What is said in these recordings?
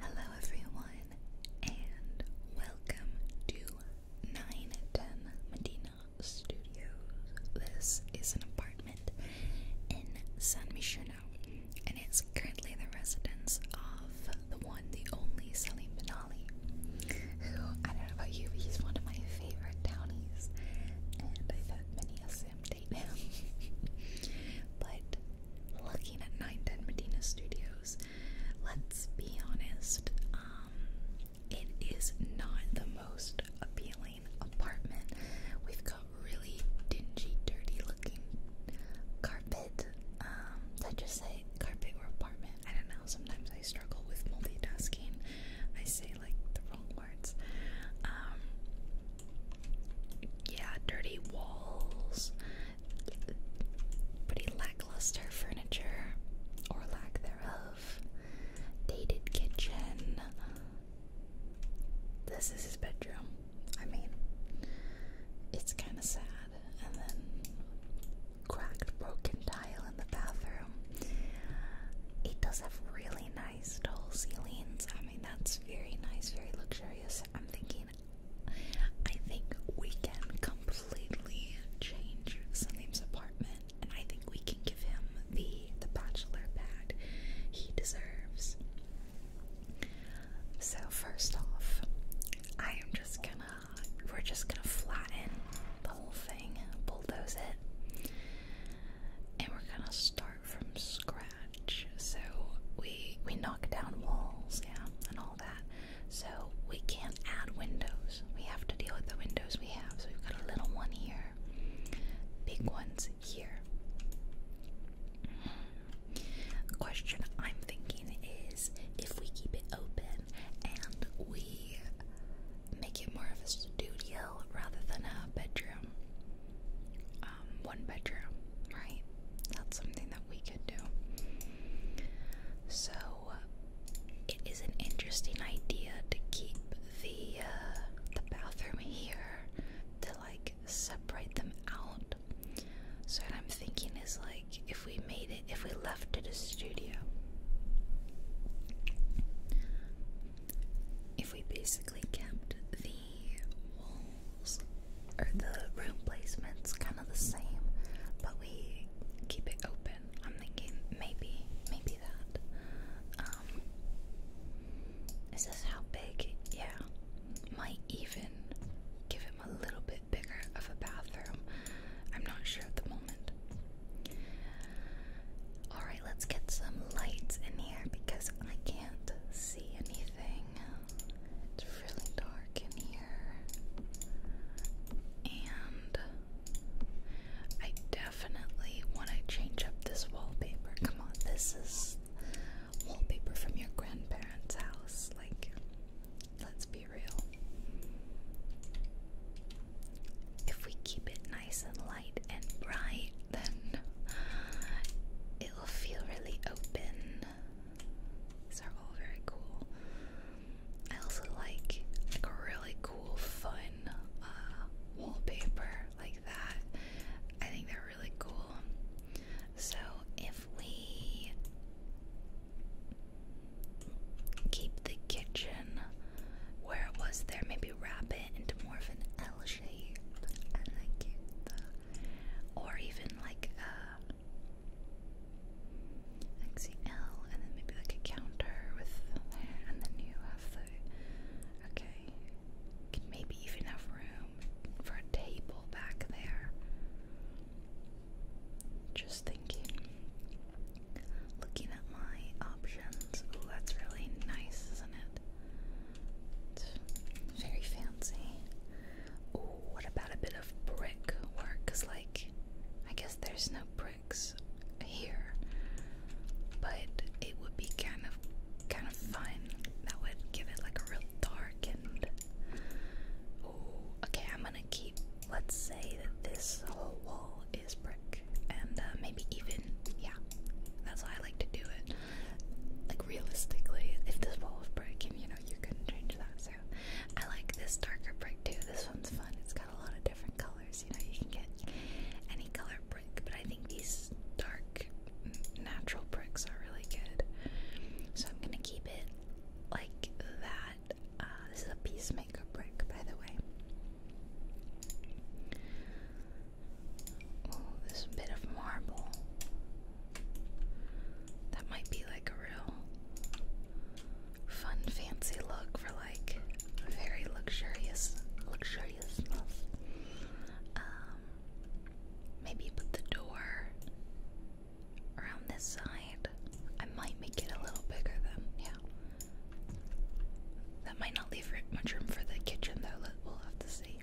Hello, everyone, and welcome to 910 Medina Studios. This is an apartment in San Michino, and it's currently the residence of the one, the only Salim Benali, who I don't know about you, but he's one of my favorite townies, and I've had many a Sam but looking at 910 Medina Studios, let's be honest, um, it is not the most appealing apartment. We've got really dingy, dirty looking carpet. did um, I just say carpet or apartment? I don't know. Sometimes I struggle with multitasking. I say like the wrong um, yeah, dirty walls, pretty lackluster furniture, or lack thereof, dated kitchen. This is his bedroom. I mean, it's kind of sad. And then cracked, broken tile in the bathroom. It does have really nice nice tall ceilings. I mean, that's very nice, very luxurious. I'm thinking, I think we can completely change Salim's apartment, and I think we can give him the the bachelor pad he deserves. So first off, I am just gonna we're just gonna flatten the whole thing, bulldoze it, and we're gonna start from scratch. So we we knock down walls, yeah, and all that. So we can't add windows. We have to deal with the windows we have. So we've got a little one here, big ones here. The question I'm thinking is if we keep it open and we make it more of a studio rather than a bedroom. Um, one bedroom, right? That's something that we could do. So it is an interesting idea to keep the uh, the bathroom here to like separate them out. So what I'm thinking is like if we made it, if we left it a studio. If we basically kept the wall or the room placement's kind of the same, but we keep it open. I'm thinking maybe, maybe that. Um, this how big? Yeah, might even give him a little bit bigger of a bathroom. I'm not sure at the moment. Alright, let's get some lights in here because I can't see anything. It's really dark in here. And I definitely want to change up this wallpaper. Come on, this is wallpaper from your grandparents' house. Like, let's be real. If we keep it nice and light and bright, then it will feel really open. These are all very cool. I also like like really cool, fun uh, wallpaper like that. I think they're really cool. So if we keep the kitchen where it was there, maybe wrap it into more of an L shape. I like it or even like a uh, like and then maybe like a counter with there, and then you have the okay. can maybe even have room for a table back there. Just thinking, looking at my options. Ooh, that's really nice, isn't it? very fancy. what about a bit of brick Cause like, I guess there's no bricks here, but it would be kind of, kind of fun. That would give it like a real dark and. Ooh, okay. I'm gonna keep. Let's say that this whole wall is brick, and uh, maybe even yeah. That's how I like to do it like realistically, if this wall was broken, you know, you couldn't change that. So I like this darker brick too. This one's fun. It's got a lot of different colors. You know, you can get any color brick, but I think these dark natural bricks are really good. So I'm gonna keep it like that. Uh, this is a peacemaker brick, by the way. Oh, this bit of marble. That might be like a real fun, fancy look for like very luxurious, luxuriousness. Um, maybe put the door around this side. I might make it a little bigger than, yeah. That might not leave much room for the kitchen though, we'll have to see.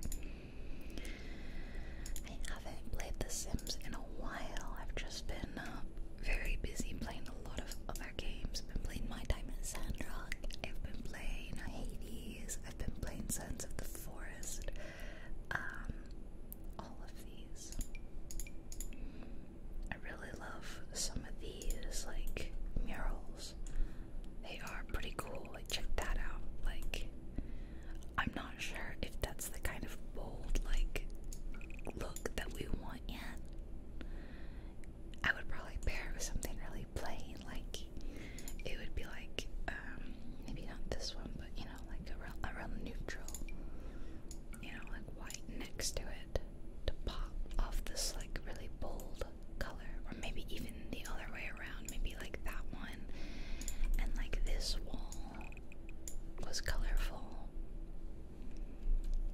I haven't played The Sims in a while. I've just been uh, very busy playing a lot of other games. I've been playing My Time in Sandrock. I've been playing Hades. I've been playing Sons of the Forest. Um, all of these. I really love some of these, like murals. They are pretty cool. Like check that out. Like I'm not sure if that's the kind of bold like look that we want yet. I would probably pair it with something really plain, like it would be like um, maybe not this one, but you know, like a real, a real neutral, you know, like white next to it to pop off this like really bold color, or maybe even the other way around maybe like that one. And like this wall was colorful.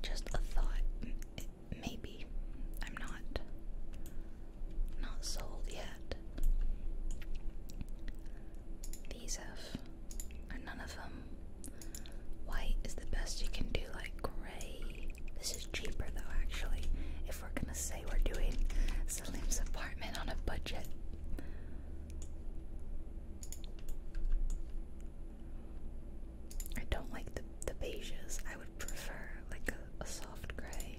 Just a thought. maybe. I'm not not sold yet. These are none of them. White is the best you can do, like gray. This is cheaper though, actually we're gonna say we're doing Selim's apartment on a budget. I don't like the the beiges. I would prefer like a, soft gray.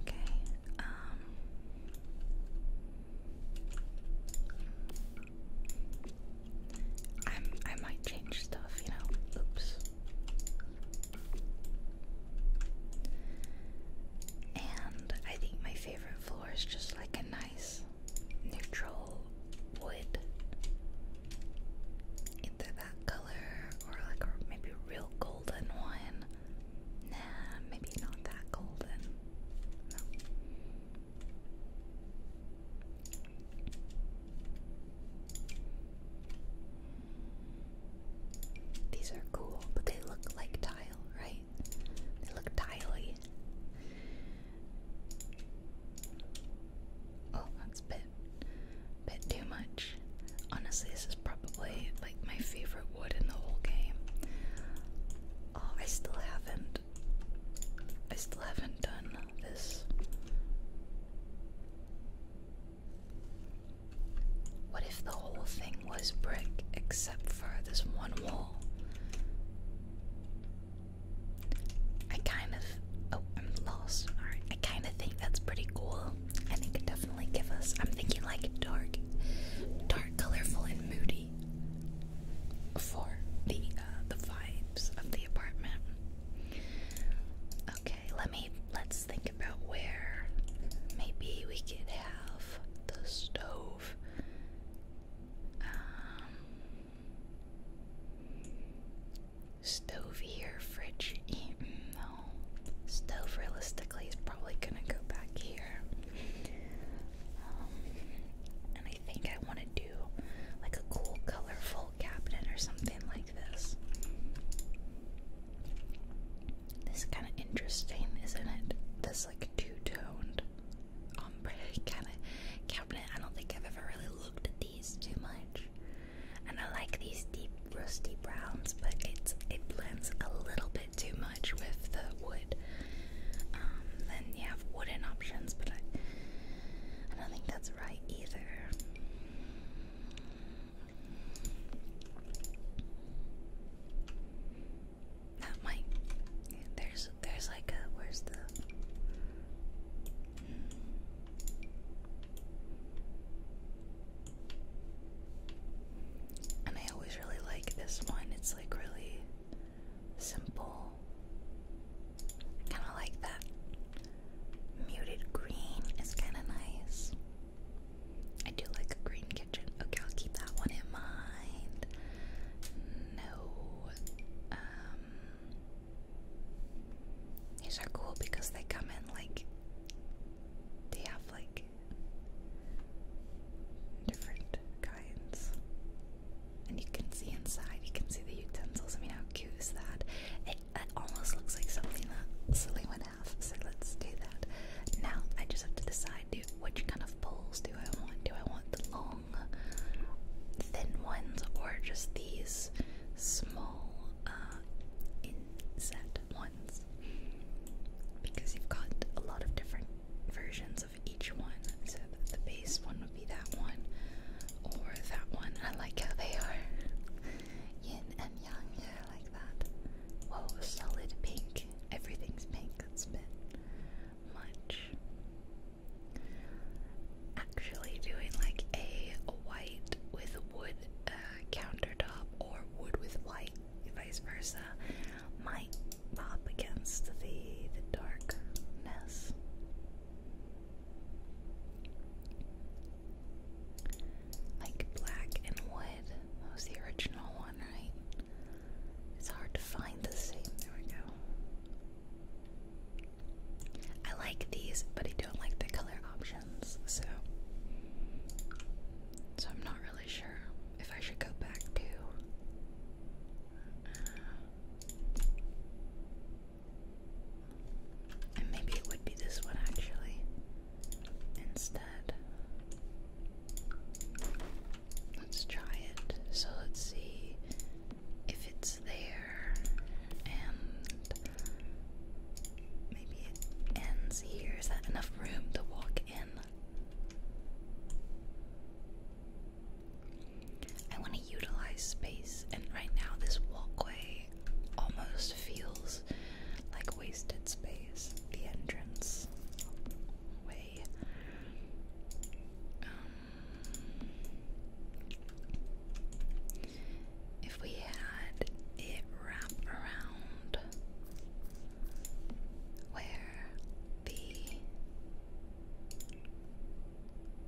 Okay. Um. i I might change stuff, you know. Oops. And I think my favorite floor is just like a nice neutral wood. Either that color or like maybe real golden one. Nah, maybe not that golden. These are cool, but they look like tile, right? They look tiley. Oh, that's a bit, bit too much. Honestly, this is probably like my favorite wood in the whole game. Oh, I still haven't. I still haven't done this. What if the whole thing was brick except for this one wall? I kind of. Oh, I'm lost. I kind of think that's pretty cool. I think it definitely give us. I'm thinking like dark, dark, colorful, and moody for the uh, the vibes of the apartment. Okay, let me let's think about where maybe we could have the stove. Um, stove here, fridge. Mm, no, stove realistically is probably gonna go back here. Um, and I think I want to do like a cool, colorful cabinet or something like this. is kind of interesting, isn't it? This like two-toned ombre kind of cabinet. I don't think I've ever really looked at these too much. And I like these deep rusty browns, but it's it blends a little bit too much with the wood. Um, then you have wooden options, but I don't think that's right either. That might. There's there's like a where's the. And I always really like this one. It's like really simple. Kind of like that. Muted green is kind of nice. I do like a green kitchen. Okay, I'll keep that one in mind. No. Um, these are cool because they come in like they have like different kinds. And you can see inside, you can see the utensils. I mean, how cute is that? That almost looks like something that Silly would have, so let's do that. Now I just have to decide which kind of poles do I want. Do I want the long, thin ones or just these small uh, inset ones? Because you've got a lot of different versions of each one. So the base one would be that one or that one. I like how they are yin and yang like that. Whoa, solid pink. Everything's pink. That's has been much. Actually, doing like a white with wood uh, countertop or wood with white, vice versa, might pop against the the darkness. Like black and wood. That was the original one, right? It's hard to find the same. There we go. I like these, but I don't like the color options, so so I'm not really sure if I should go back to uh, and maybe it would be this one actually instead. Let's try it. So let's see if it's there and maybe it ends here. Is that enough room to walk in? I want to utilize space, and right now, this walkway almost feels like wasted space. The entrance way. Um, if we had it wrap around where the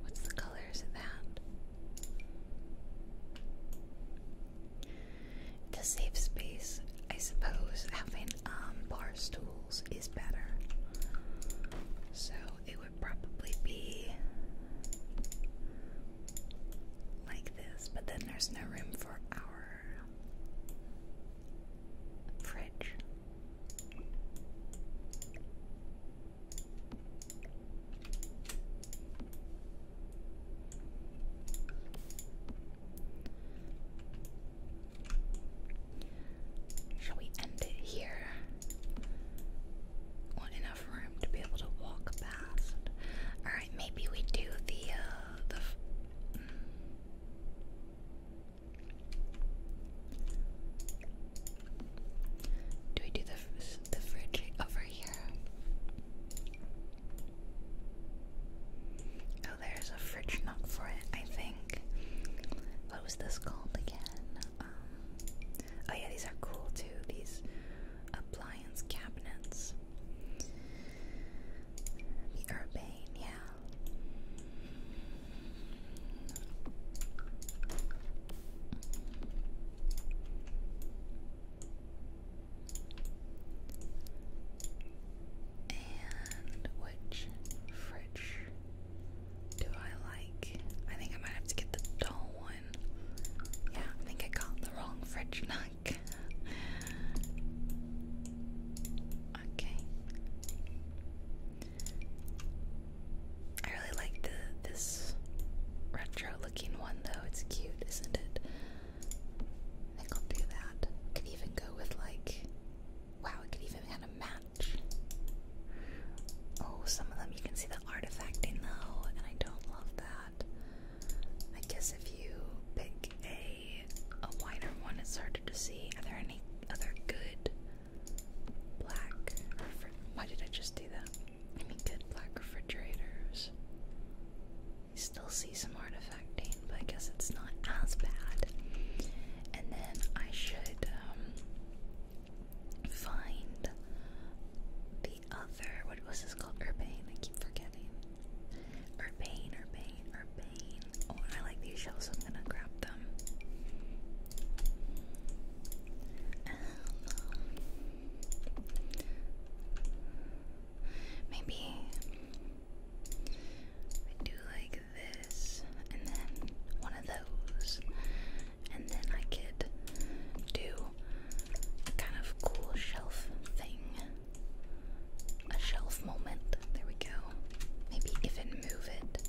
what's the color is that? To save space. I suppose having um, bar stools is better. So it would probably be like this, but then there's no room for our fridge. Shall we end it here? Want enough room to be able to walk past? All right, maybe we do the uh, the. Mm. Do we do the the fridge over here? Oh, there's a fridge knock for it, I think. What was this called again? Um, oh, yeah, these are cool too. These appliance cabinets. The Urbane, yeah. And which fridge do I like? I think I might have to get the dull one. Yeah, I think I got the wrong fridge knock. okay. I really like the this retro looking one though. It's cute, isn't it? I think I'll do that. could even go with like wow, it could even kind of match. Oh, some of them you can see the artifacting though, and I don't love that. I guess if you pick a a wider one it's harder to see. Are there any other good black why did I just do that? Any good black refrigerators? still see some artifacting, but I guess it's not as bad. And then I should um, find the other. What was this called? Urbane. I keep forgetting. Urbane, Urbane, Urbane. Oh, I like these shells, I'm gonna grab them. Maybe I do like this, and then one of those, and then I could do a kind of cool shelf thing. A shelf moment. There we go. Maybe even move it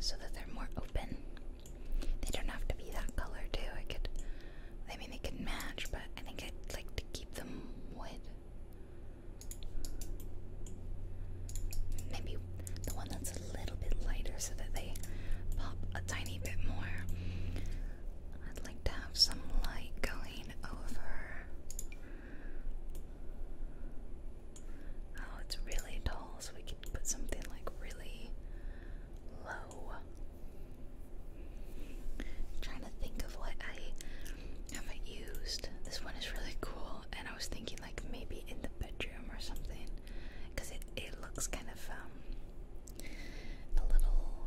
so that they're more open. They don't have to be that color, too. I could I mean, they could match, but I think I'd like to keep them white. Maybe the one that's a little bit lighter so that they pop a tiny bit more. I'd like to have some light going over. Oh, it's really tall, so we could put something like really low i trying to think of what I haven't used. This one is really cool, and I was thinking like maybe in the bedroom or something, because it it looks kind of um, a little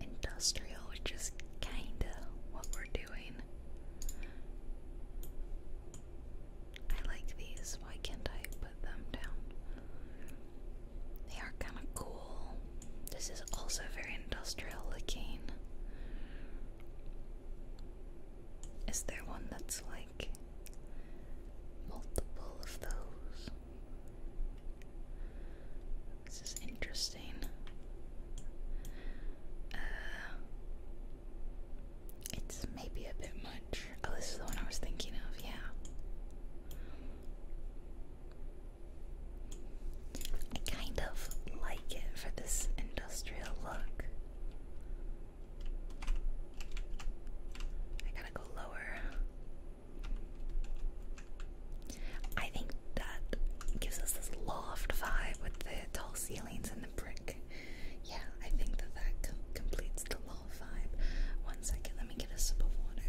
industrial, which is kinda what we're doing. I like these. Why can't I them down. They are kind of cool. This is also very industrial looking. Is there one that's like multiple of those? This is interesting. Uh, it's maybe a bit much. Oh, this is the one I was thinking of, yeah. I kind of like it for this industrial look. I gotta go lower. I think that gives us this loft vibe with the tall ceilings and the brick. Yeah, I think that that completes the one second, let me get a sip of water.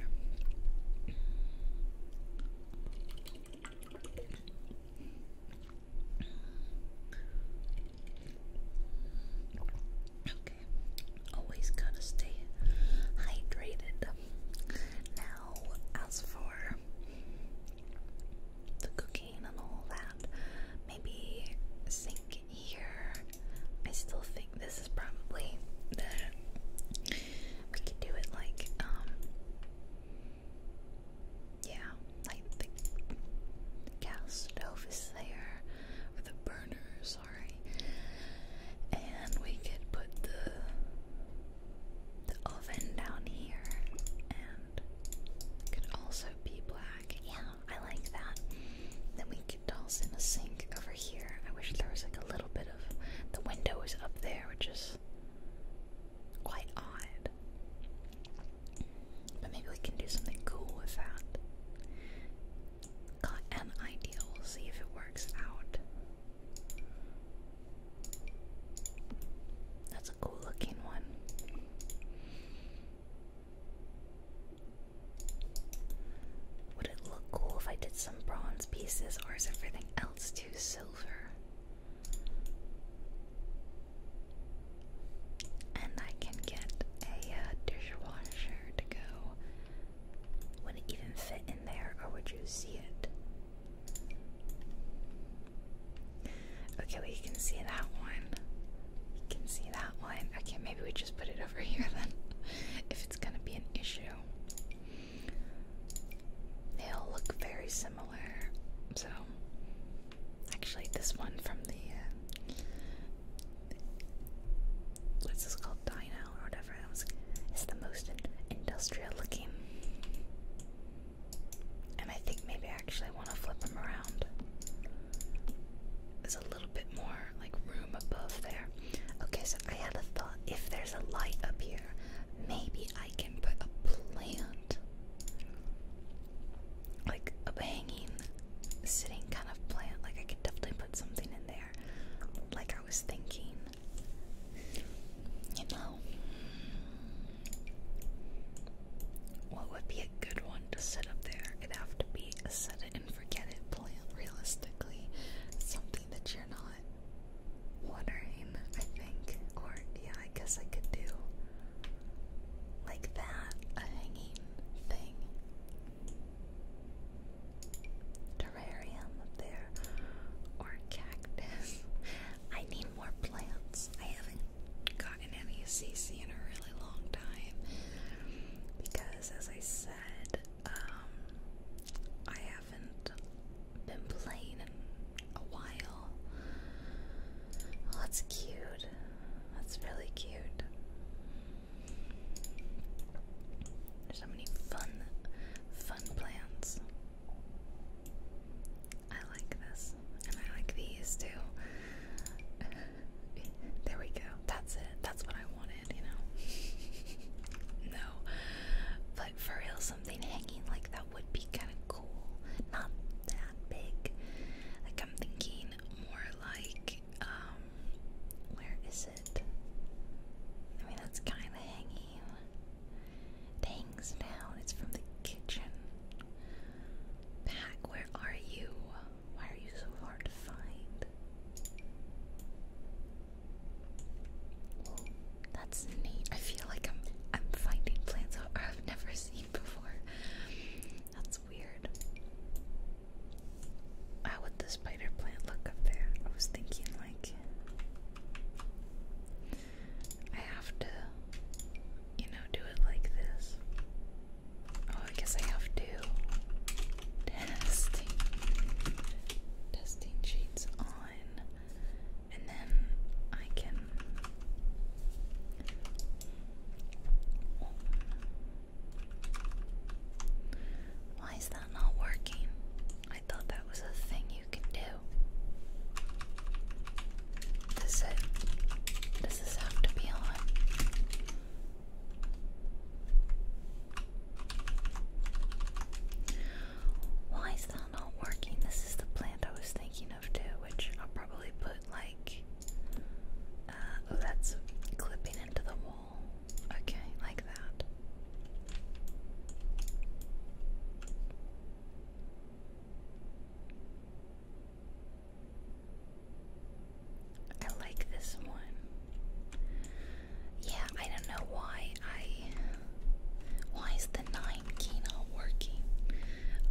Okay, always gotta stay hydrated. Now, as for the cooking and all that, maybe sink here I still think this is probably the we could do it like um yeah like the, gas stove is there or the burner sorry and we could put the the oven down here and could also be black yeah I like that then we dolls in a sink over here. I wish there was like a little bit of the window is up there, which is quite odd. But maybe we can do something cool with that. Got an idea. We'll see if it works out. That's a cool looking one. Would it look cool if I did some bronze pieces, or is everything else too silver? And I can get a uh, dishwasher to go. Would it even fit in there, or would you see it? Okay, well, you can see that one. You can see that one. Okay, maybe we just put it over here then, if it's gonna be an issue. They all look very similar. So, actually, this one from the. Uh, what's this called? Dino or whatever. It was, it's the most industrial looking. And I think maybe I actually want to flip them around. There's a little bit more like room above there. Okay, so I had a thought. If there's a light up here, maybe I can put a plant, like a hanging, sitting kind of plant. Like I could definitely put something in there. Like I was thinking, you know, what would be a good one to set up there? It'd have to be a set it and forget it realistically something that you're not watering, I think. Or yeah, I guess I could do like that, a hanging thing. Terrarium up there. Or cactus. I need more plants. I haven't gotten any CC in a really long time. Because as I said, um, I haven't been playing in a while. that's cute. That's really cute. There's so many fun, fun plants. I like this, and I like these too. there we go. That's it. That's what I wanted, you know? no. But for real, something hanging like that would be kind of cool. Not that big. Like, I'm thinking more like, um, where is it? I mean, that's kind of hanging. It hangs down. It's from the kitchen. Pack, where are you? Why are you so hard to find? That's neat. I feel like I'm I'm finding plants out I've never seen before. That's weird. How would the spider plant look up there? I was thinking like I have to you know do it like this. Oh I guess I have to testing testing sheets on and then I can Why is that not working? I thought that was a thing you could do. Does it does this have to be on? Why is that not working? This is the plant I was thinking of too, which I'll probably put like. Uh, oh, that's clipping into the wall. Okay, like that. I like this one. Yeah, I don't know why I. Why is the 9 key not working?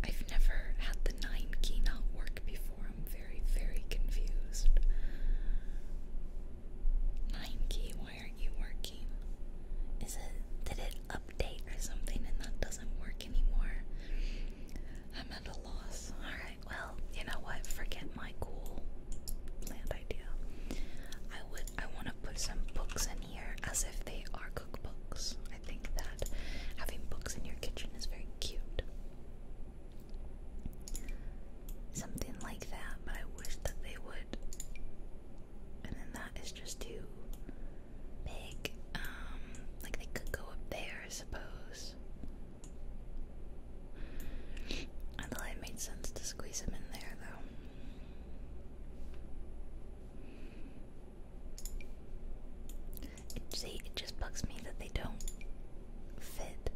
I've never had the 9 key not work before. I'm very, very confused. 9 key, why aren't you working? Is it. Did it update or something and that doesn't work anymore? I'm at a loss. Alright, well, you know what? Forget my cool plan good idea. I would I want to put some books in here as if they are cookbooks. I think that having books in your kitchen is very cute. Something like that, but I wish that they would. And then that is just too big. Um, like they could go up there, I suppose. I thought it made sense to squeeze him in there, though. see, it just bugs me that they don't fit.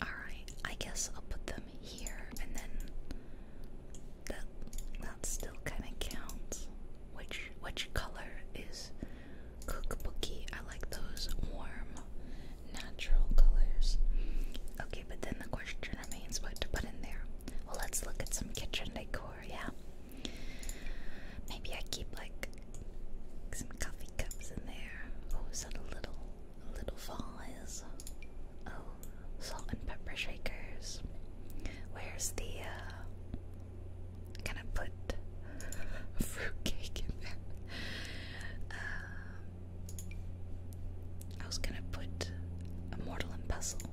Alright, I guess I'll put them here and then that that still kinda counts. Which which color is cookbooky. I like those warm, natural colors. Okay, but then the question remains what to put in there. Well, let's look at some kitchen decor, yeah? Maybe I keep like some coffee cups in there. Oh, is that a little, a little vase? Oh, salt and pepper shakers. Where's the uh, Gonna put a fruitcake in there? Um, I was gonna put a mortal and pestle.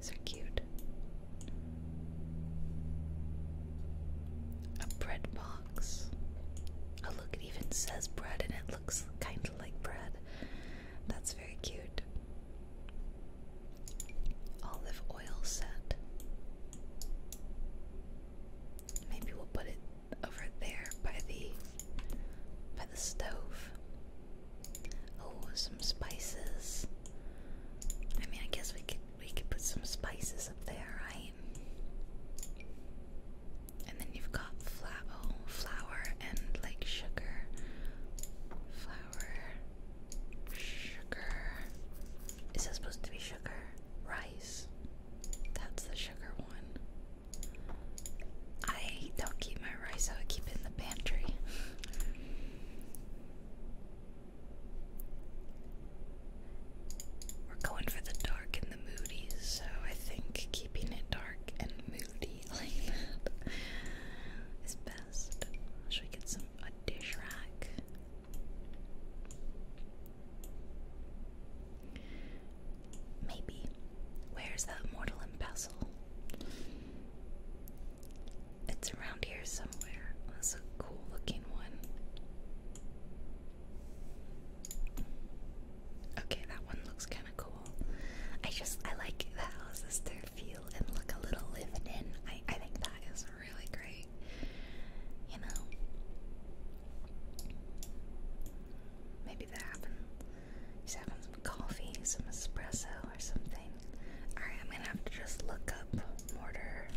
So cute. A bread box. Oh look, it even says bread and it looks kind of like bread. That's very cute olive oil set. Maybe we'll put it over there by the by the stove. Oh, some spices. I mean, I guess we could we could put some spices up there, right? And then you've got flour, oh, flour and like sugar, flour, sugar, is that supposed to be sugar? Rice. That's the sugar one. I don't keep my rice, I keep it in the pantry. We're going for the dark and the moody, so I think keeping it dark and moody like best. Should we get some? a dish rack. Maybe. Where's that mortal and It's around here somewhere. That's a cool looking one. Okay, that one looks kind of cool. I just I like the houses to feel and look a little lived in. I I think that is really great, you know. Maybe they're having, some coffee, some espresso, or something. Alright, I'm gonna have to just look up mortar.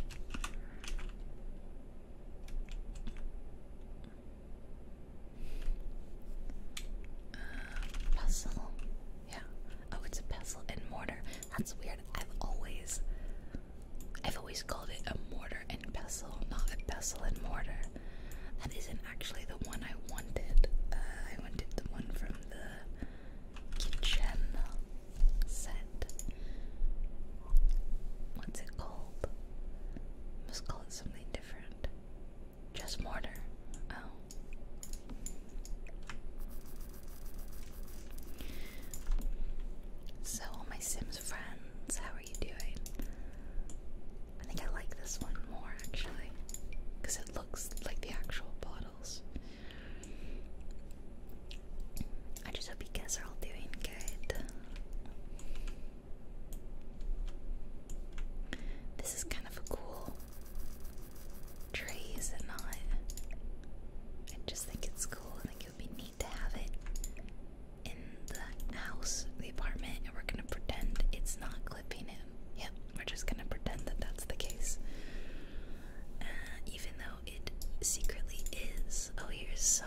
Uh, puzzle. Yeah. Oh, it's a pestle and mortar. That's weird. I've always I've always called it a mortar and pestle, not a pestle and mortar. That isn't actually the one I wanted. Uh, I wanted the one from the kitchen set. What's it called? Must call it something different. Just mortar. Oh. So, all my Sims friends, how are you doing? I think I like this one more actually because it looks like the actual bottles. I just hope you guys are all doing good. This is kind of a cool tree, is it I just think it's cool it would be neat to have it in the house, the apartment, and we're gonna pretend it's not clipping him. Yep, we're just gonna pretend that that's the case. Uh, even though it secretly is. Oh, here's some.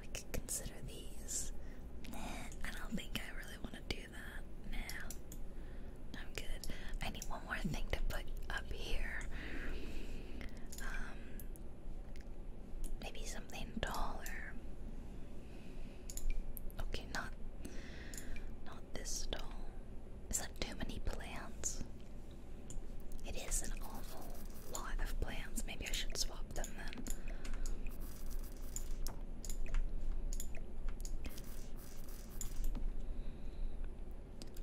We could consider these. I don't think I really want to do that. Nah, I'm good. I need one more thing to put up here. Um, maybe something taller. Okay, not not this tall. Is that too many plants? It is an awful lot of plants. Maybe I should swap them then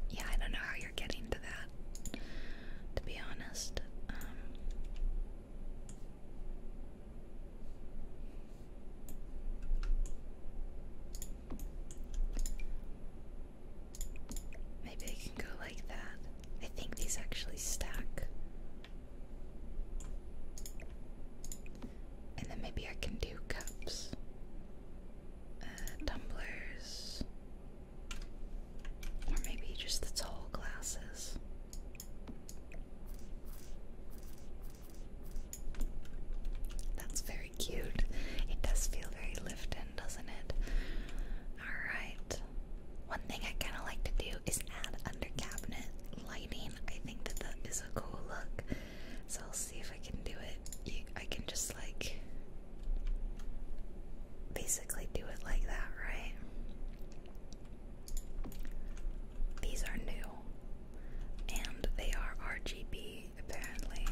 yeah, I don't know how you're getting to that, to be honest. Um, maybe I can go like that. I think these actually stack. And then maybe I can do cups, uh, tumblers. Or maybe just the tall glasses. That's very cute. It does feel very Lifton, doesn't it? Alright. One thing I kind of like to do is add under cabinet lighting. I think that that is a cool look. So see if I can do it. I can just like basically do it like that, right? These are new and they are RGB apparently.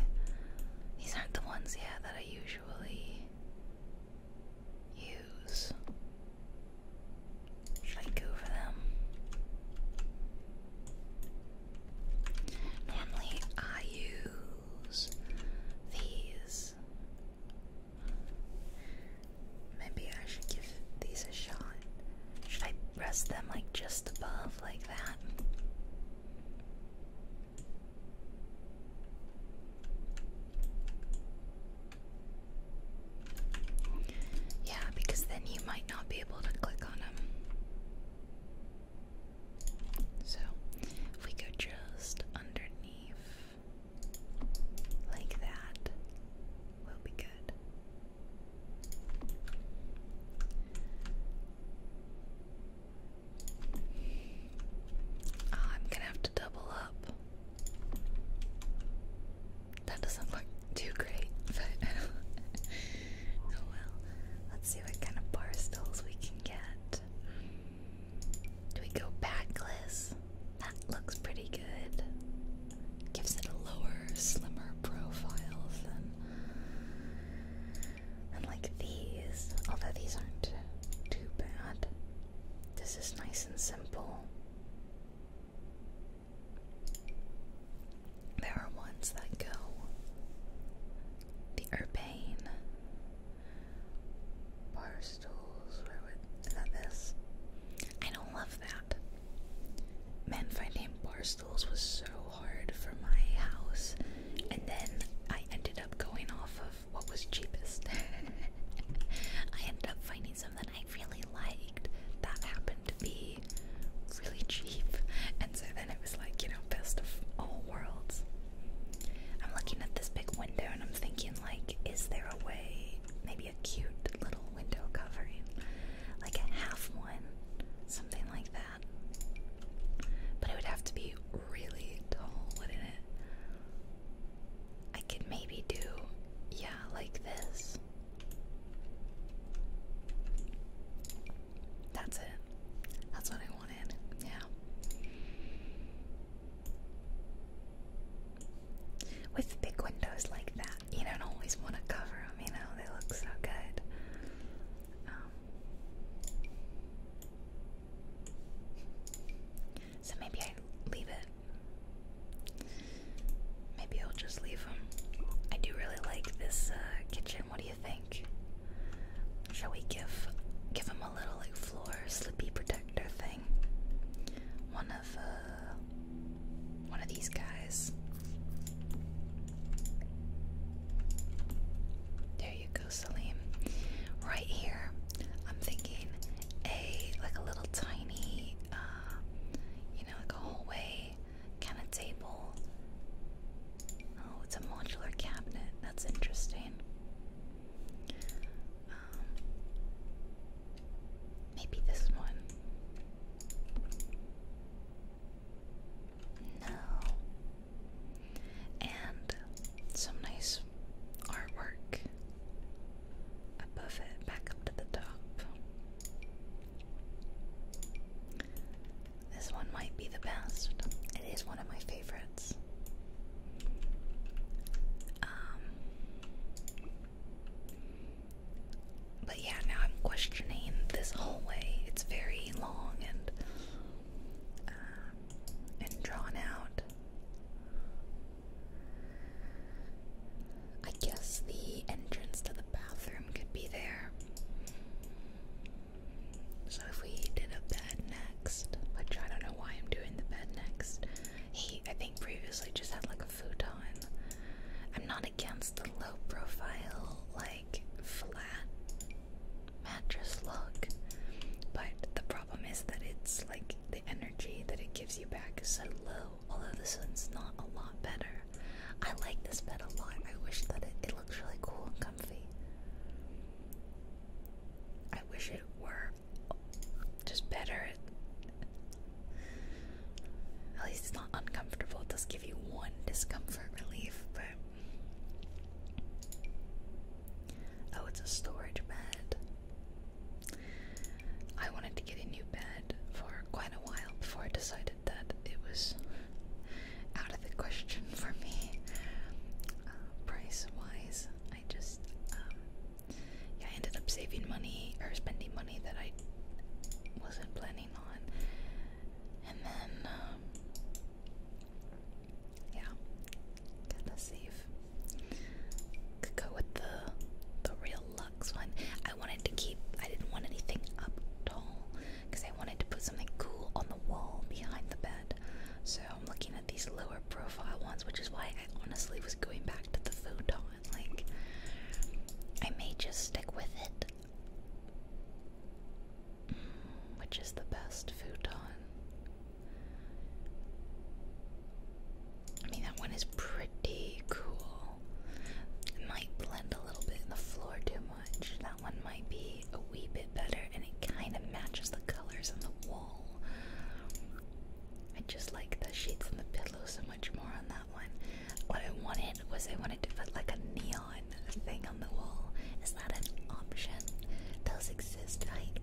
These aren't the ones yeah that I usually use. Should I go for them? Normally I these. Maybe I should give these a shot. Should I press them like just above, like that? Yeah, because then you might not be able to click on them. So if we go just underneath like that, we'll be good. Ah, I'm gonna have to double up. That doesn't look too great, but oh well. Let's see what kind of bar we can get. Do we go backless? That looks pretty good. Gives it a lower, slimmer profile than like these. Although these aren't too bad. This is nice and simple. There are ones that go the urbane bar stools. Where would that this? I don't love that. finding bar stools was so hard for my house, and then I ended up going off of what was cheapest. I ended up finding something that I really liked that happened to be really cheap, and so and it was like, you know, best of all worlds. I'm looking at this big window and I'm thinking, like, is there a way, maybe a cute little window covering? Like a half one, something like that. But it would have to be really tall, wouldn't it? I could maybe do, yeah, like this. That's it. That's what I wanted. Yeah. With big windows like that, you don't always want to cover them, you know? They look so good. Um, so maybe I leave it. Maybe I'll just leave them. I do really like this uh, kitchen. What do you think? Shall we give give him a little like floor slippy protector thing? One of uh, one of these guys. There you go, Salim. Right here, I'm thinking a like a little tiny uh, you know like a hallway kind of table Oh, it's a modular cabinet. That's interesting. Um, maybe this one. No. And some nice artwork above it, back up to the top. This one might be the best. It is one of my favorites. Um, but yeah, now I'm questioning this hallway. It's very long and um, and drawn out. I guess the entrance to the bathroom could be there. So if we did a bed next, which I don't know why I'm doing the bed next, he I think previously just had like a futon. I'm not against the low profile, like flat mattress look, but the problem is that it's like the energy that it gives you back is so low. Although this one's not a lot better. I like this bed a lot. I wish that it, it looks really cool and comfy. I wish it were just better. At least it's not uncomfortable. It does give you one discomfort relief, but. Oh, it's a storage bed. I wanted to get a new bed for quite a while before I decided that it was out of the question for me. Uh, price wise, I just um, yeah, I ended up saving money or spending money that I wasn't planning on, and then um, yeah, gotta save. Could go with the the real Lux one. I wanted to keep. I didn't want anything up tall because I wanted to put something cool on the wall behind the bed. So I'm looking at these lower profile ones, which is why I honestly was going back to the futon. Like, I may just stick with it. Mm, which is the best futon? I mean, that one is pretty cool. It might blend a little bit in the floor too much. That one might be a wee bit better and it kind of matches the colors on the wall. I just like the shades and the pillow so much more on that one. What I wanted was I wanted to put like a neon thing on the wall. Is that an option? Those exist, like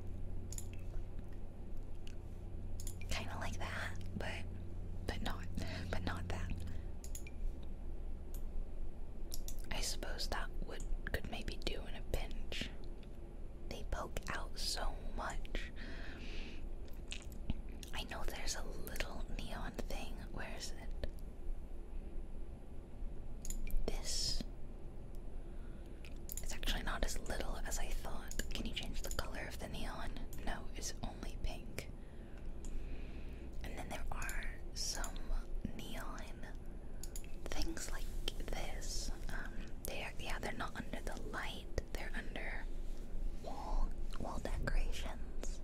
kind of like that, but but not, but not that. I suppose that would could maybe do in a pinch. They poke out so much. I know there's a little neon thing. Where is it? This. It's actually not as little as I thought. Can you change the color of the neon? No, it's only pink. And then there are some neon things like this, um, they yeah, they're not under the light, they're under wall, wall decorations.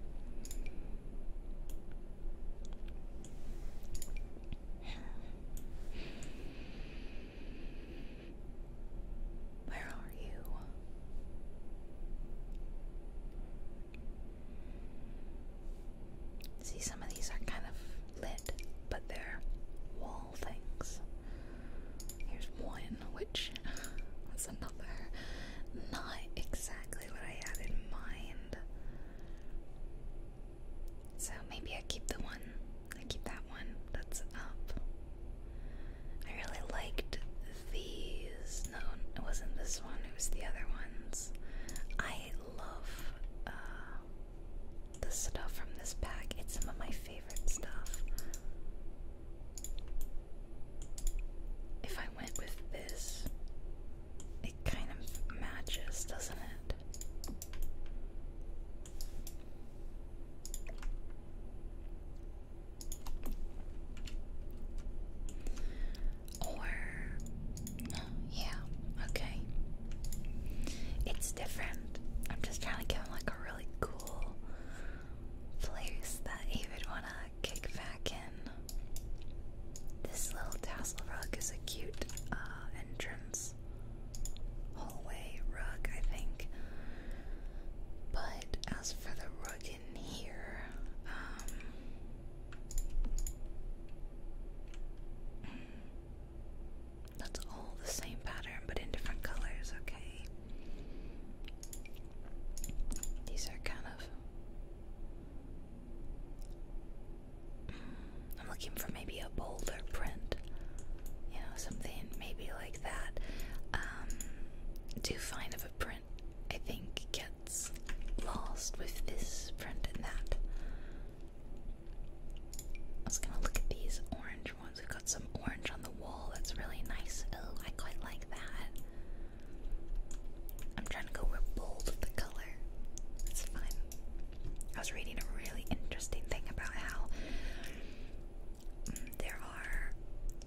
Where are you? See, some of these are kind of lit, but they're wall things. Here's one, which was another. Not exactly what I had in mind. So maybe I keep the one. I keep that one that's up. I really liked these. No, it wasn't this one, it was the other ones. I love uh, the stuff from this pack. It's some of my favorite stuff. If I went with this, it kind of matches, doesn't it? Or yeah, okay. It's different. I'm just trying to give him like a really cool place that he would want to kick back in. This little tassel rug is a cute uh, entrance hallway rug, I think. But as for the rug in here, um. That's all the same pattern but in different colors, okay? These are kind of. Mm, I'm looking for maybe a bolder print. You know, something maybe like that. Um, too fine of a print, I think, gets lost with this print and that. I was gonna look at these orange ones. We've got some orange on the wall. That's really nice. Oh, I quite like that. I'm trying to go bold with the color. It's fun. I was reading a really interesting thing about how mm, there are.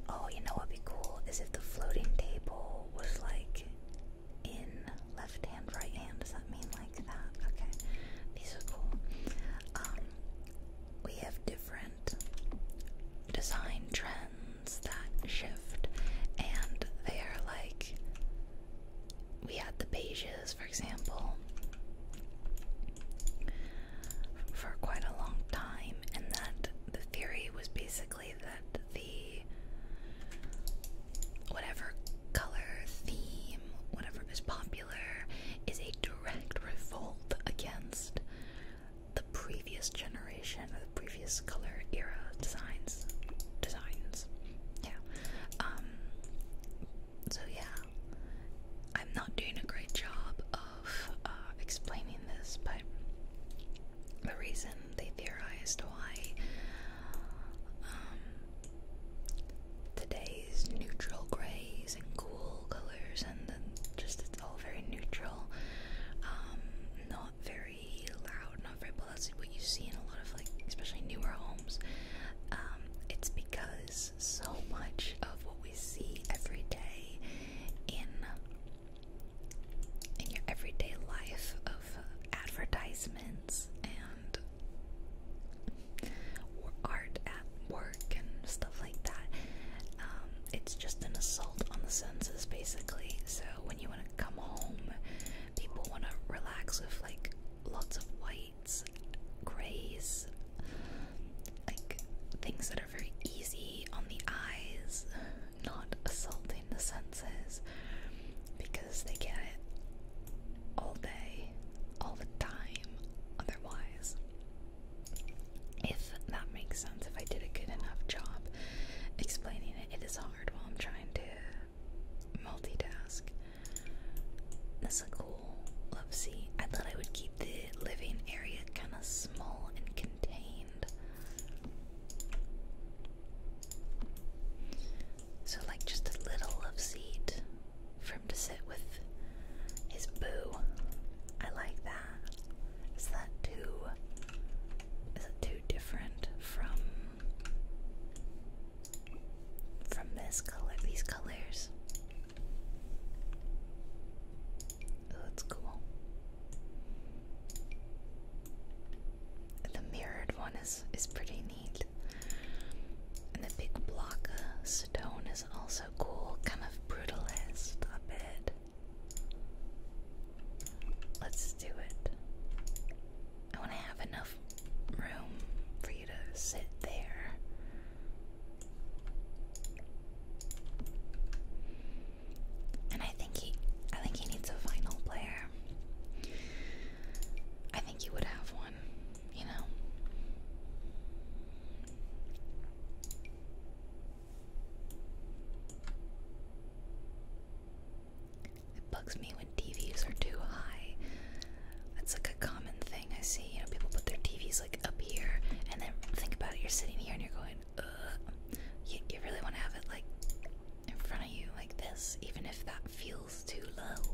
Oh, you know what'd be cool is if the floating table was like in left hand, right hand. Does that mean like that? Okay, these are cool. Um, we have different design trends that shift, and they are like we had the beiges, for example, for quite a long time, and that the theory was basically that the whatever color theme, whatever is popular, is a direct revolt against the previous generation or the previous color era designs. Designs. Yeah. Um, so, yeah. I'm not doing a great job of uh, explaining this, but the reason they theorized why um, today's neutral grays and cool colors, and just it's all very neutral, um, not very loud, not very. Well, that's what you see in a lot of like, especially newer homes. Um, it's because so much of what we see every day in in your everyday life of advertisements and art at work and stuff like that. Um, it's just an assault on the senses, basically. So when you want to come home, people want to relax with like lots of whites, grays, like things that are very easy on the eyes, not assaulting the senses because they get it all day, all the time, otherwise. If that makes sense, if I did a good enough job explaining it, it is hard while I'm trying to multitask. That's a cool love seat. I thought I would keep the living area kind of small and contained. So, like, just a little of seat for him to sit with his boo. I like that. Is that too. Is it too different from. from this color, these colors? Oh, that's cool. The mirrored one is is pretty and the big block stone is also cool, kind of brutalist a bit. Let's do it. I want to have enough room for you to sit there. And I think he I think he needs a vinyl player. I think you would have one, you know. It bugs me when TVs are too high. That's like a common thing I see. You know, people put their TVs like up here, and then think about it. You're sitting here and you're going, Ugh. you really want to have it like in front of you, like this, even if that feels too low,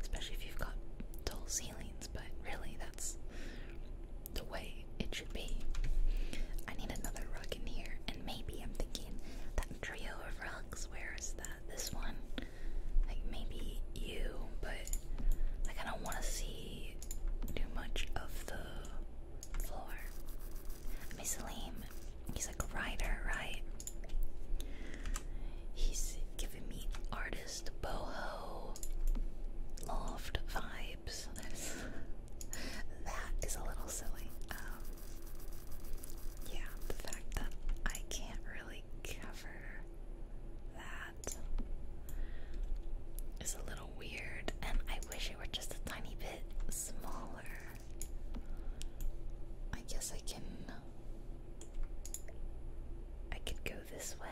especially if you've got tall ceilings, but really that's the way it should be. I need another rug in here, and maybe I'm thinking that trio of rugs, where is that? This one? Like maybe you, but I kind of want to see too much of the floor. I mean, he's like a writer, right? He's giving me artist boho loft vibes. That's, a little silly. Um, yeah, the fact that I can't really cover that is a little weird, and I wish it were just a tiny bit smaller. I guess I can I could go this way.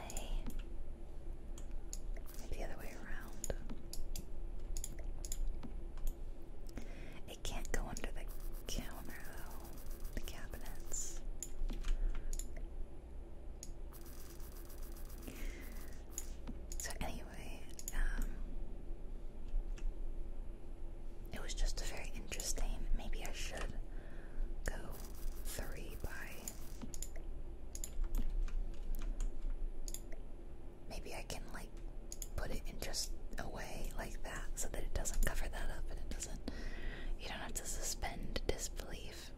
The other way around. It can't go under the counter, though. The cabinets. So, anyway, um, it was just very interesting. Maybe I should go three by. Maybe I can like put it in just a way like that so that it doesn't cover that up and it doesn't. You don't have to suspend disbelief.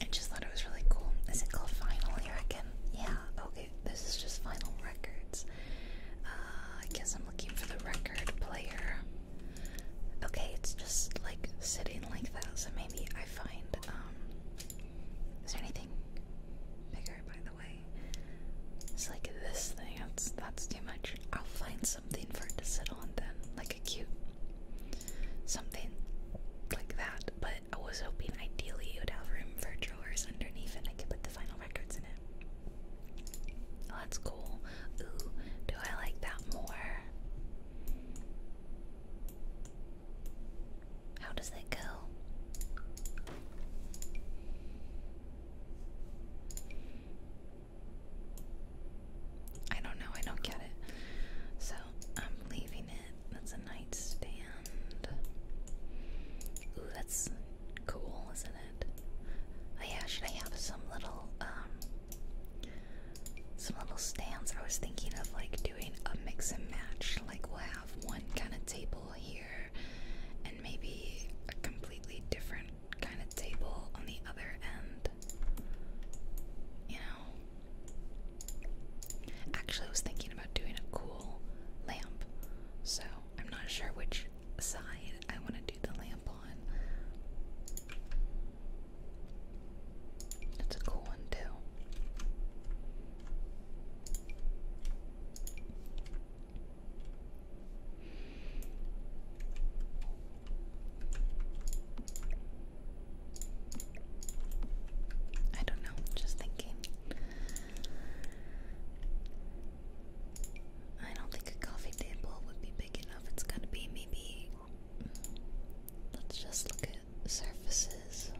I just thought it was really cool. Is it called Finally? I reckon. Yeah, okay this is just final records. Uh, I guess I'm looking for the record player. Okay, it's just like sitting like that, so maybe I find. Um, is there anything bigger, by the way? It's like this thing. That's that's too much. I'll find something for it to sit on then, like a cute something like that. But I was hoping ideally it would have room for drawers underneath and I could put the final records in it. Oh, that's cool. Ooh, do I like that more? How does it go? I don't know, I don't get it. So I'm leaving that's a nightstand. Ooh, that's cool, isn't it? Oh yeah, should I have some little um some little stands? I was thinking of like doing a mix and match. Like we'll have one kind of table here and maybe a completely different kind of table on the other end. You know. Actually I was thinking about doing a cool lamp. So I'm not sure which side I want to do the lamp on. It's a cool one too. I don't know, just thinking. I don't think a coffee table would be big enough. It's gonna be maybe. Let's just look at surfaces.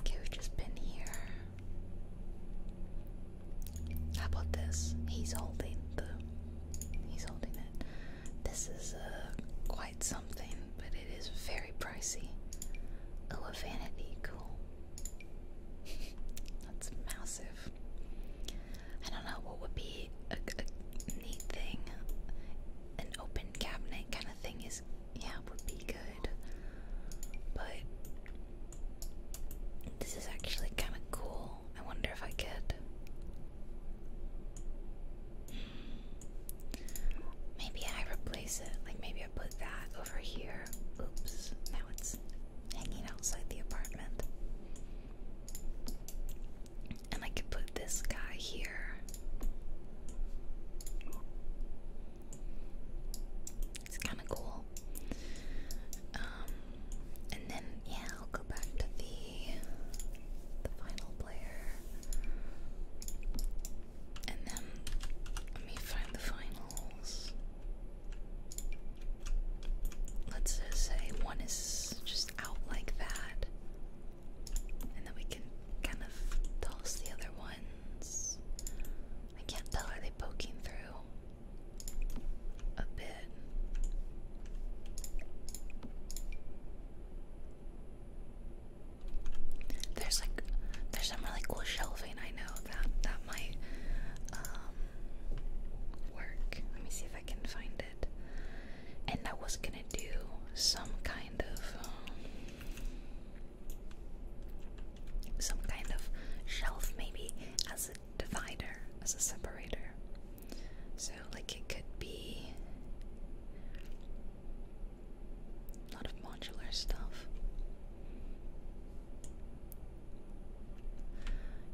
Okay, we've just been here. How about this? He's holding the. He's holding it. This is a. Uh, something, but it is very pricey. Oh, a vanity, cool. That's massive. I don't know what would be a, neat thing. An open cabinet kind of thing is, yeah, would be good. But this is actually kind of cool. I wonder if I could. Hmm. Maybe I replace it. Like maybe I put that over here. Oops, now it's hanging outside the apartment. And I could put this guy here. It's kind of cool. Um, and then yeah, I'll go back to the the final player. And then let me find the finals. Let's say one is just out like that. And then we can kind of toss the other ones. I can't tell, are they poking through? A bit. There's like there's some really cool shelving I know that that might um, work. Let me see if I can find it. And I was gonna do some kind of um, some kind of shelf maybe as a divider, as a separator. So like it could be a lot of modular stuff.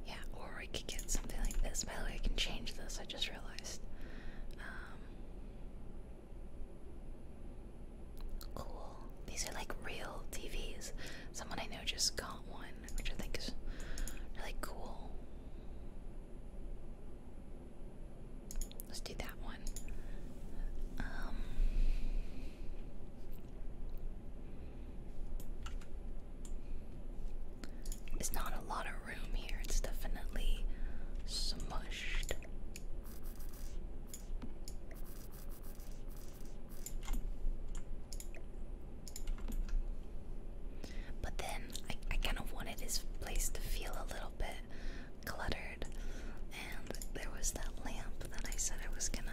Yeah, or we could get something like this. By the way, I can change this, I just realized. Um, cool. These are like real TVs. Someone I know just got one, which I think is really cool. Let's do that one. Um, it's not a lot of room here. It's definitely smushed. But then I, kind of wanted his place to feel a little bit cluttered and there was that lamp that I said I was gonna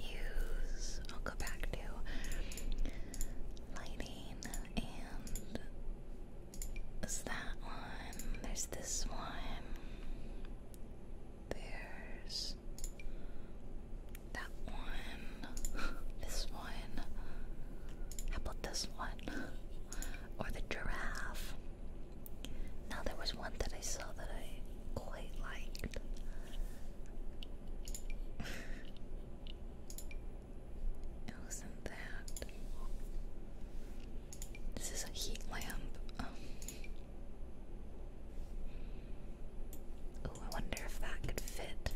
use. I'll go back to lighting, and there's that one. There's this one. There's that one. This one. How about this one? Or the giraffe. Now there was one that I saw that I quite liked. it wasn't that. This is a heat lamp. oh, I wonder if that could fit.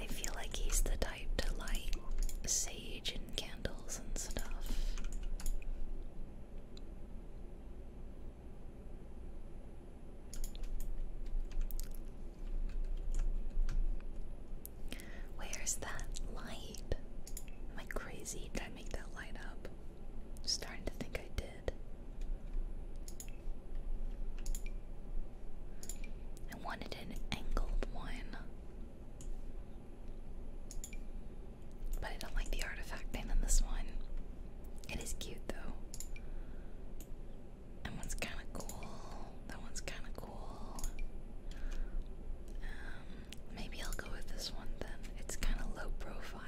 I feel like he's the type to light sage and candles and stuff. Where's that light? Am I crazy? Did I make that light up? starting to think I did. I wanted an angled one. But I don't like the artifacting in this one. It is cute though. That one's kind of cool. That one's kind of cool. Um, maybe I'll go with this one then. It's kind of low profile.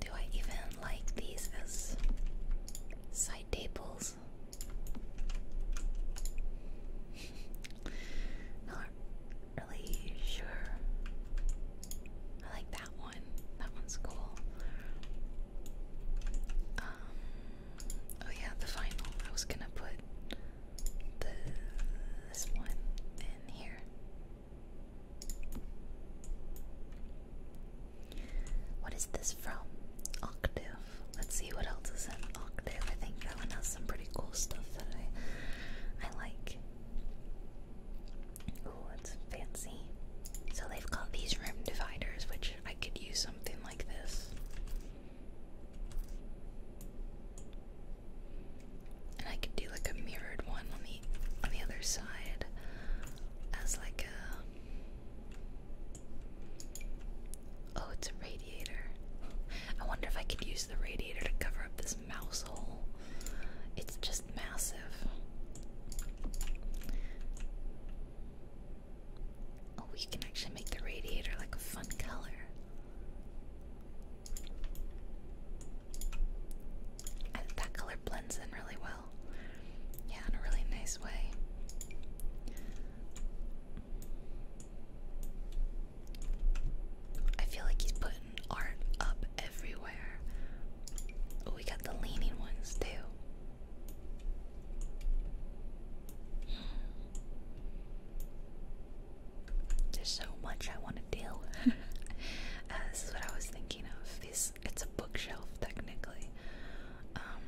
Do I even like these as side tables? Not really sure. I like that one. That one's cool. Um, Oh yeah, the final. I was gonna put this one in here. What is this from? Octave. Let's see what else is in Octave. I think that one has some pretty cool stuff that I I like. Oh, it's fancy. So they've got these room dividers, which I could use something like this. And I could do like a mirrored one on the on the other side as like a Oh, it's a radiator. I wonder if I could use the radiator to cover up this mouse hole. It's just massive. Oh, we can actually make the radiator like a fun color. I, that color blends in really well. Yeah, in a really nice way. I feel like he's putting art up everywhere. Oh, we got the leaning ones too. There's so much I want to deal uh, this is what I was thinking of. This it's a bookshelf technically. Um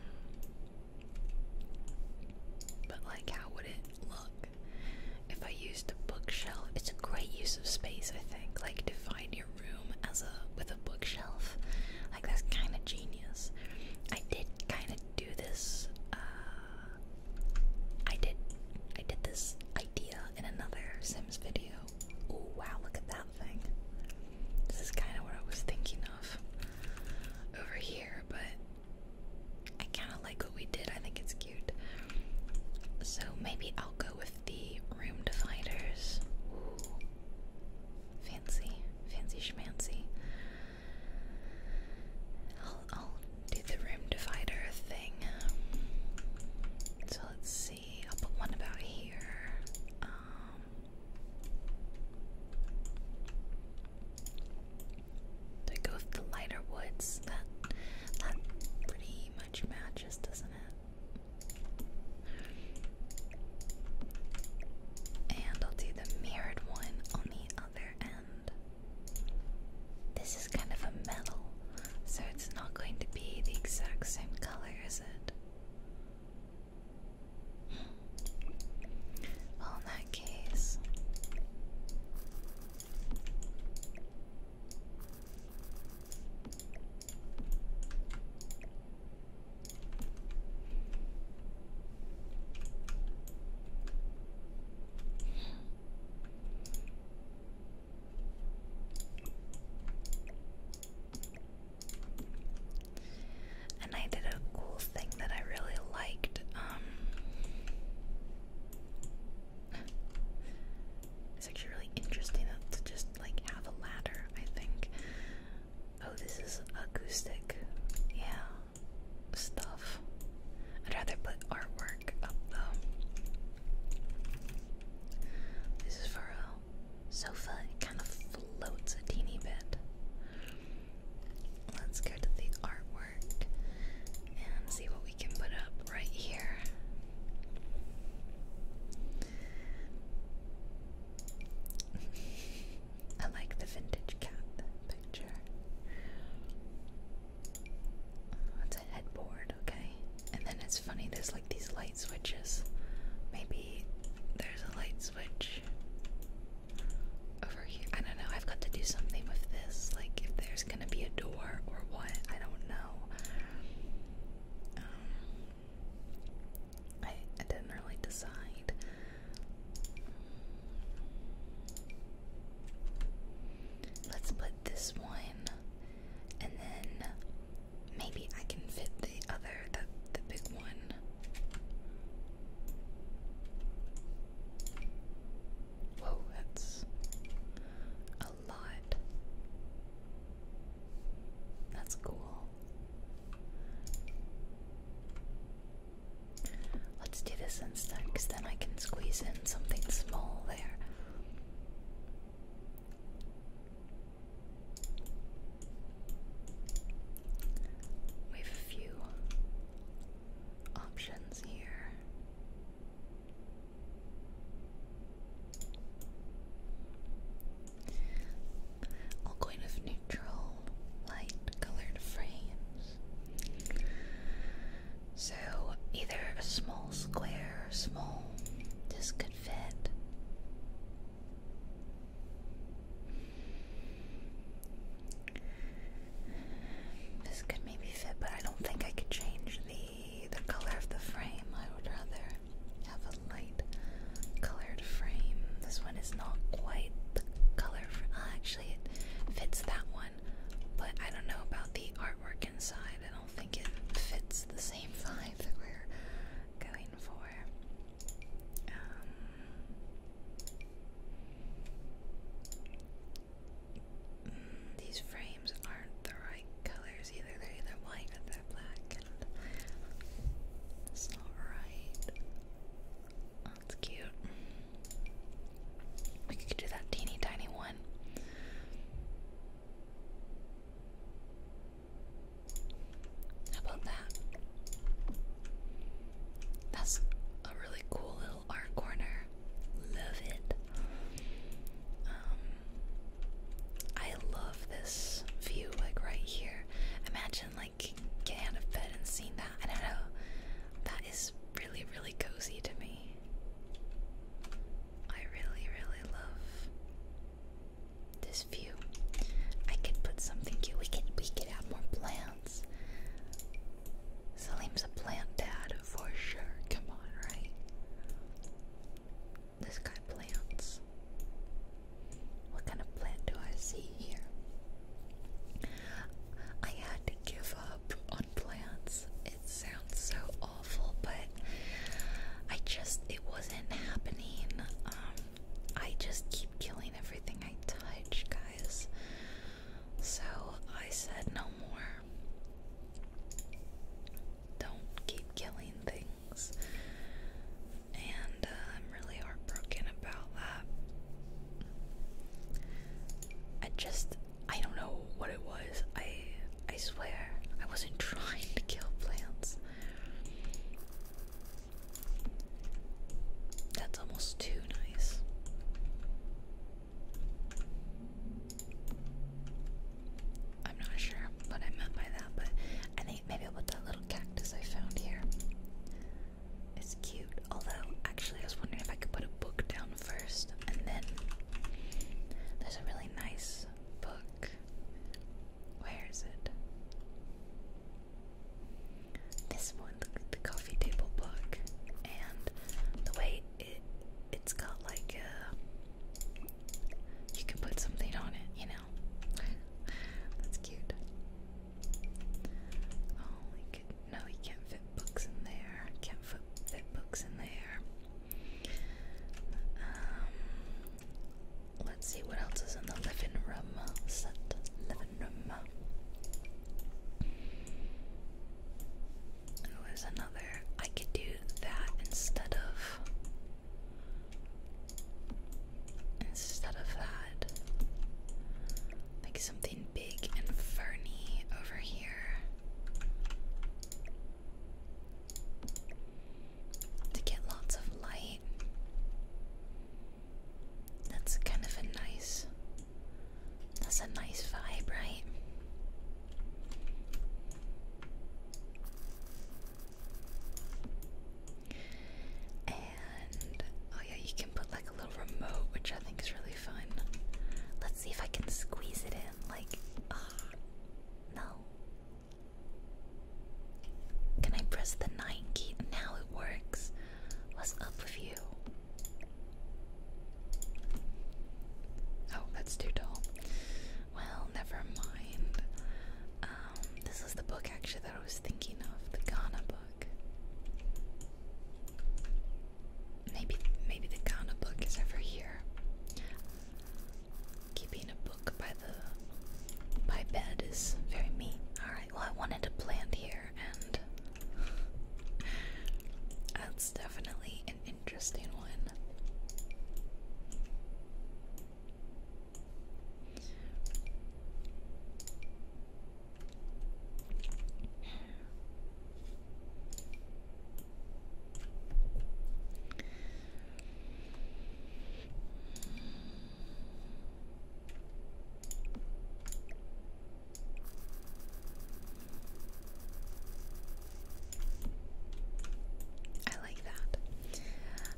but like how would it look if I used a bookshelf? It's a great use of space, I think. Like define your room as a with a bookshelf. Like that's kinda genius. I did kinda do this. Uh, I did. I did this idea in another Sims video. Oh wow! Look at that thing. This is kind of what I was thinking of over here, but I kind of like what we did. I think it's cute. So maybe I'll go with the room dividers. Fancy, fancy schmancy. I'll, do the room divider thing. So let's see. I'll put one about here. Um, goes with the lighter woods? That that pretty much matches, doesn't it? And I'll do the mirrored one on the other end. This is kind of a metal, so it's not going to be the exact same color, is it? Well, in that case. And I did a cool thing that I really liked. Um, it's actually really interesting to just like have a ladder, I think. Oh, this is acoustic. Yeah stuff. I'd rather put artwork up though. This is for a sofa. It kind of floats a teeny bit. Let's go to the artwork and see what we can put up right here. I like the vintage cat picture. it's a headboard, okay. And then it's funny, there's like these light switches. Maybe there's a light switch over here. I don't know, I've got to do something with this. Like, if there's gonna be a door or what, I don't know. Um, I didn't really decide. Let's put this one, and then maybe I can fit the other, the, the big one. Whoa, that's a lot. That's cool. Let's do this instead, because then I can squeeze in something small there. We have a few options here. All kind of neutral, light colored frames. So either a small square small, this could fit. This could maybe fit, but I don't think I could change the the color of the frame. I would rather have a light colored frame. This one is not quite the color for uh, it fits that one, but I don't know about the artwork inside. I don't think it fits the same vibe that we're going for. Um, these frames aren't the right colors either. They're either white or they're black. it's not right. That's cute. We could do that teeny tiny one. How about that? That's a really cool little art corner. Love it. Um, I love this view, like right here. Imagine, like, like out of bed and seeing that. I don't know. That is really, really cozy to me. I really, really love this view. I could put something cute. We could we could add more plants. Salim's a plant dad for sure. Come on, right? This guy plants. What kind of plant do I see here? I had to give up on plants. It sounds so awful, but I just it wasn't happening. Um, I just keep killing everything I touch, guys. So I said no more. Don't keep killing things. And uh, really heartbroken about that. I just I don't know what it was. I I swear I wasn't trying to kill plants. That's almost too nice. I'm not sure what I meant by that, but I think maybe with that little cactus I found here. It's cute. Although, actually, I was wondering if I could put a book down first, and then there's a really nice book. Where is it? This one, the, the coffee table book, and the way it it's got like a uh, you can put something on it, you know. That's cute. Oh, no, you can't fit books in there. Can't fit, books in there. Um, let's see what else is in the living room uh, set. Living room. Oh, there's another. I could do that instead of. Instead of that, like something big and furry over here to get lots of light. That's kind of a nice that's a nice vibe, right? oh yeah, you can put like a little remote, which I think is really fun. Let's see if I can squeeze it in. Like, oh, no. Can I press the nine key? Now it works. What's up with you? Oh, that's too tall. Well, never mind. Um, this is the book actually that I was thinking of, the Ghana book. Maybe maybe the counter book is over here. Keeping a book by the by bed is very me. Alright, well I wanted a plant here and that's definitely an interesting one. I like that.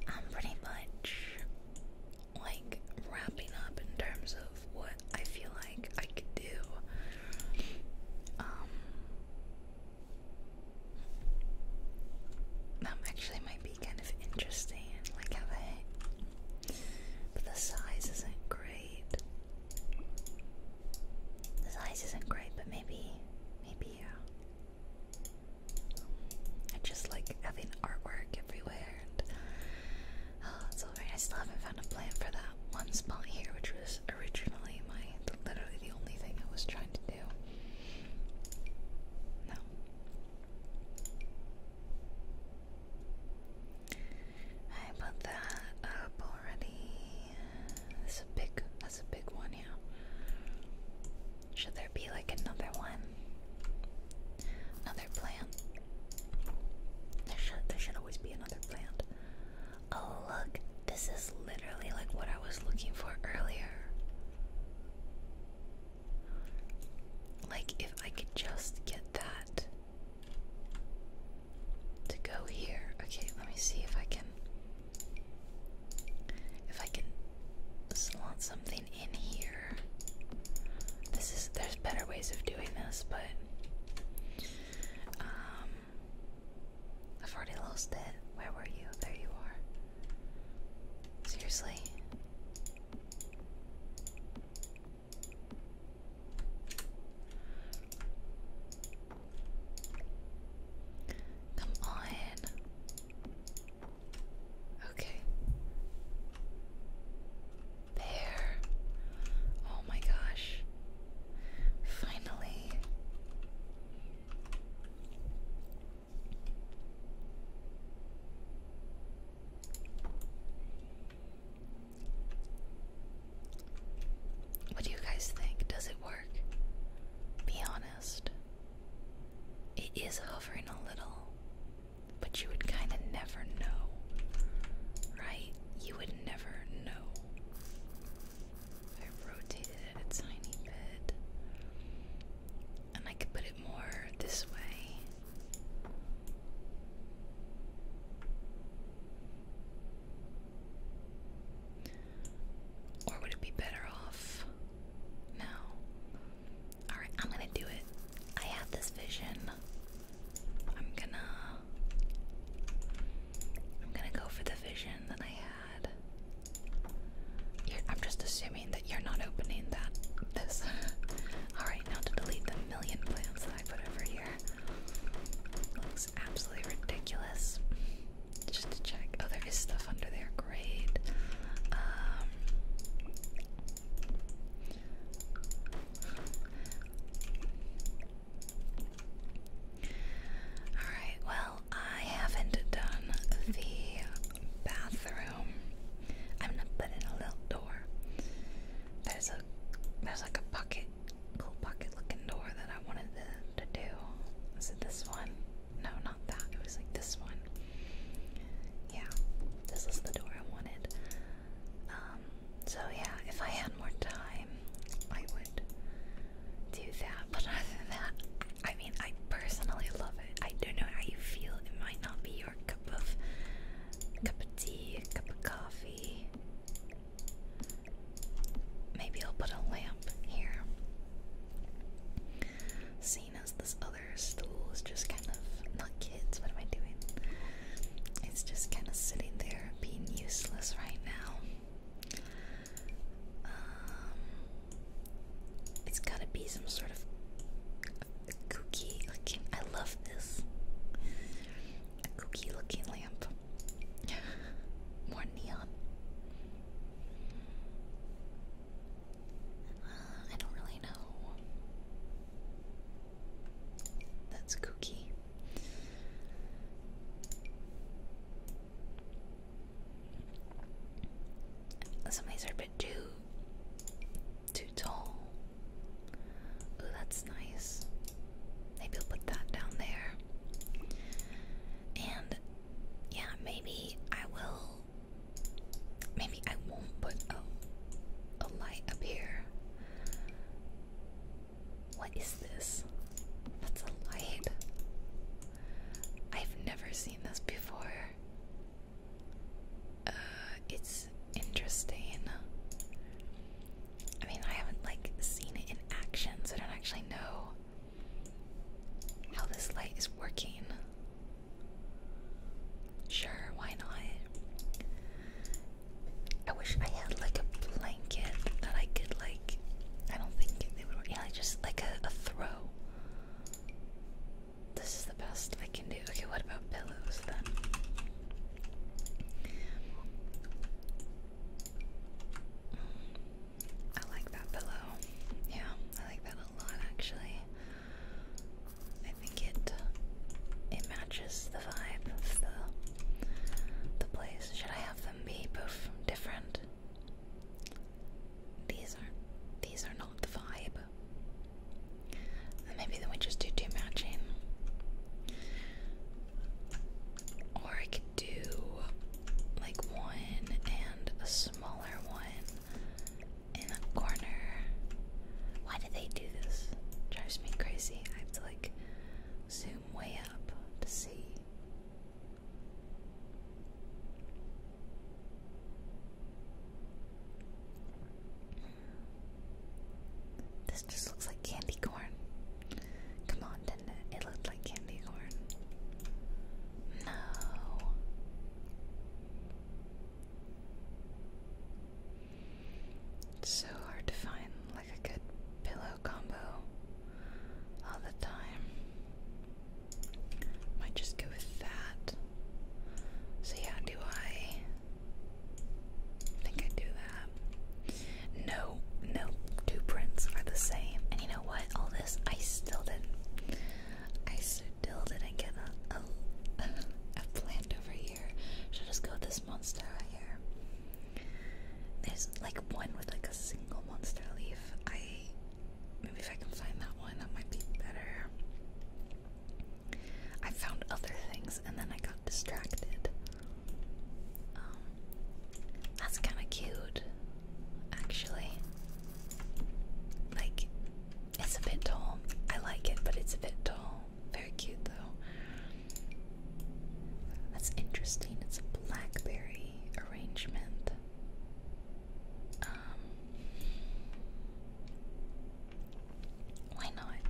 Um, pretty much like wrapping up in terms of what I feel like I could do. Um, that actually might be kind of interesting. Like how but the size isn't great. The size isn't great, but maybe, maybe yeah. I just like having artwork everywhere. And oh, it's alright. I still haven't found a plan for that one spot here, which was originally my literally the only thing I was trying to do. No. I put that up already. That's a big. That's a big one, yeah. Should there be like another one? Another plant. There should there should always be another plant. Oh look, this is literally like what I was looking for earlier. Like if I could just get that to go here. Okay, let me see if I can if I can slot something in here. This is there's better ways of doing this, but um, I've already lost it. Where were you? There you are. Seriously. Come on. Okay. There. Oh my gosh. Finally. What do you guys think? Does it work? Be honest. It is hovering a little but you would kind of never know, right? You would never know. I rotated it a tiny bit, and I could put it more this way. Or would it be better off? No. Alright, I'm gonna do it. I have this vision. I'm gonna I'm gonna go for the vision that I had. I'm just assuming that you're not opening that this. Alright, now to delete the million plants that I put over here. Looks absolutely ridiculous. Just to check. Oh, there is stuff under there. Great. Um, Alright, well, I haven't done the bathroom. I'm gonna put in a little door. There's a there's like a bucket, cool bucket looking door that I wanted to, to do. Is it this one? No, not that. It was like this one. Yeah, this is the door I wanted. Um, so yeah, if I had more time, I would do that. But other than that, I mean, I personally love it. I don't know how you feel. It might not be your cup of cup of tea, cup of coffee. Maybe I'll put a lamp here. Seeing as this other stool is just kind of not what am I doing? It's just kind of sitting there being useless right now. Um, it's gotta be some sort of a kooky looking. I love this. kooky looking lamp. More neon. Uh, I don't really know. That's kooky. Some of these are a bit too too tall. Ooh, that's nice. Maybe I'll put that down there. And yeah, maybe I will maybe I won't put a a light up here. What is this? That's a light. I've never seen this before. Uh, it's interesting. I mean, I haven't like seen it in action, so I don't actually know how this light is working. Sure, why not? I wish I had like a blanket that I could like. I don't think they would. Yeah, just like a, a throw. This is the best I can do. Okay, what about pillows then? I like that pillow. Yeah, I like that a lot actually. I think it it matches the vibe of the the place. Should I have them be both different? These are these are not the vibe. maybe then we just do two matching. Or I could do like one and a smaller one in a corner. Why do they do this? Drives me crazy. I have to like zoom way up to see. This just looks like candy corn. Come on, didn't it? It looked like candy corn. No. It's so hard to find like a good pillow combo all the time. Might just go with that. so yeah, do I think I do that? No, no, two prints are the same. And you know what? All this I still didn't. I still didn't get a a, plant over should I just go with this monster right here? There's like one with like a single monster leaf. I maybe if I can find that one, that might be better. I found other things and then I got distracted. Um, that's kind of cute, actually. Like, it's a bit tall. I like it, but it's a bit tall. Very cute though. That's interesting. It's a blackberry arrangement. Um, why not?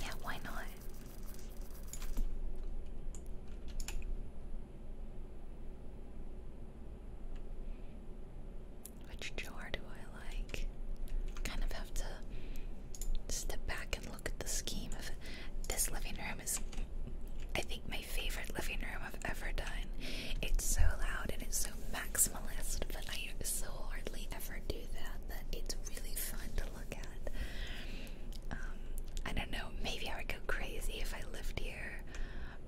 Yeah, why not? Which jar do I like? Kind of have to step back and look at the scheme of this living room is I think my favorite living room I've ever done. It's so loud and it's so maximalist, but I so hardly ever do that that it's really fun to look at. Um, I don't know, maybe I would go crazy if I lived here,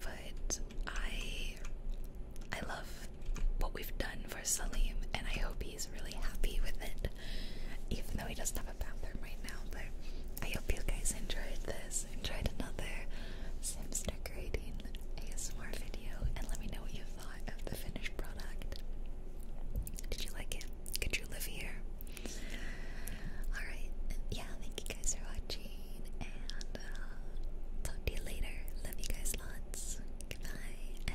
but I I love what we've done Salim, and I hope he's really happy with it. Even though he doesn't have a bathroom right now, but I hope you guys enjoyed this, enjoyed another Sims decorating ASMR video, and let me know what you thought of the finished product. Did you like it? Could you live here? Alright, yeah, thank you guys for watching, and uh, talk to you later. Love you guys lots. Goodbye,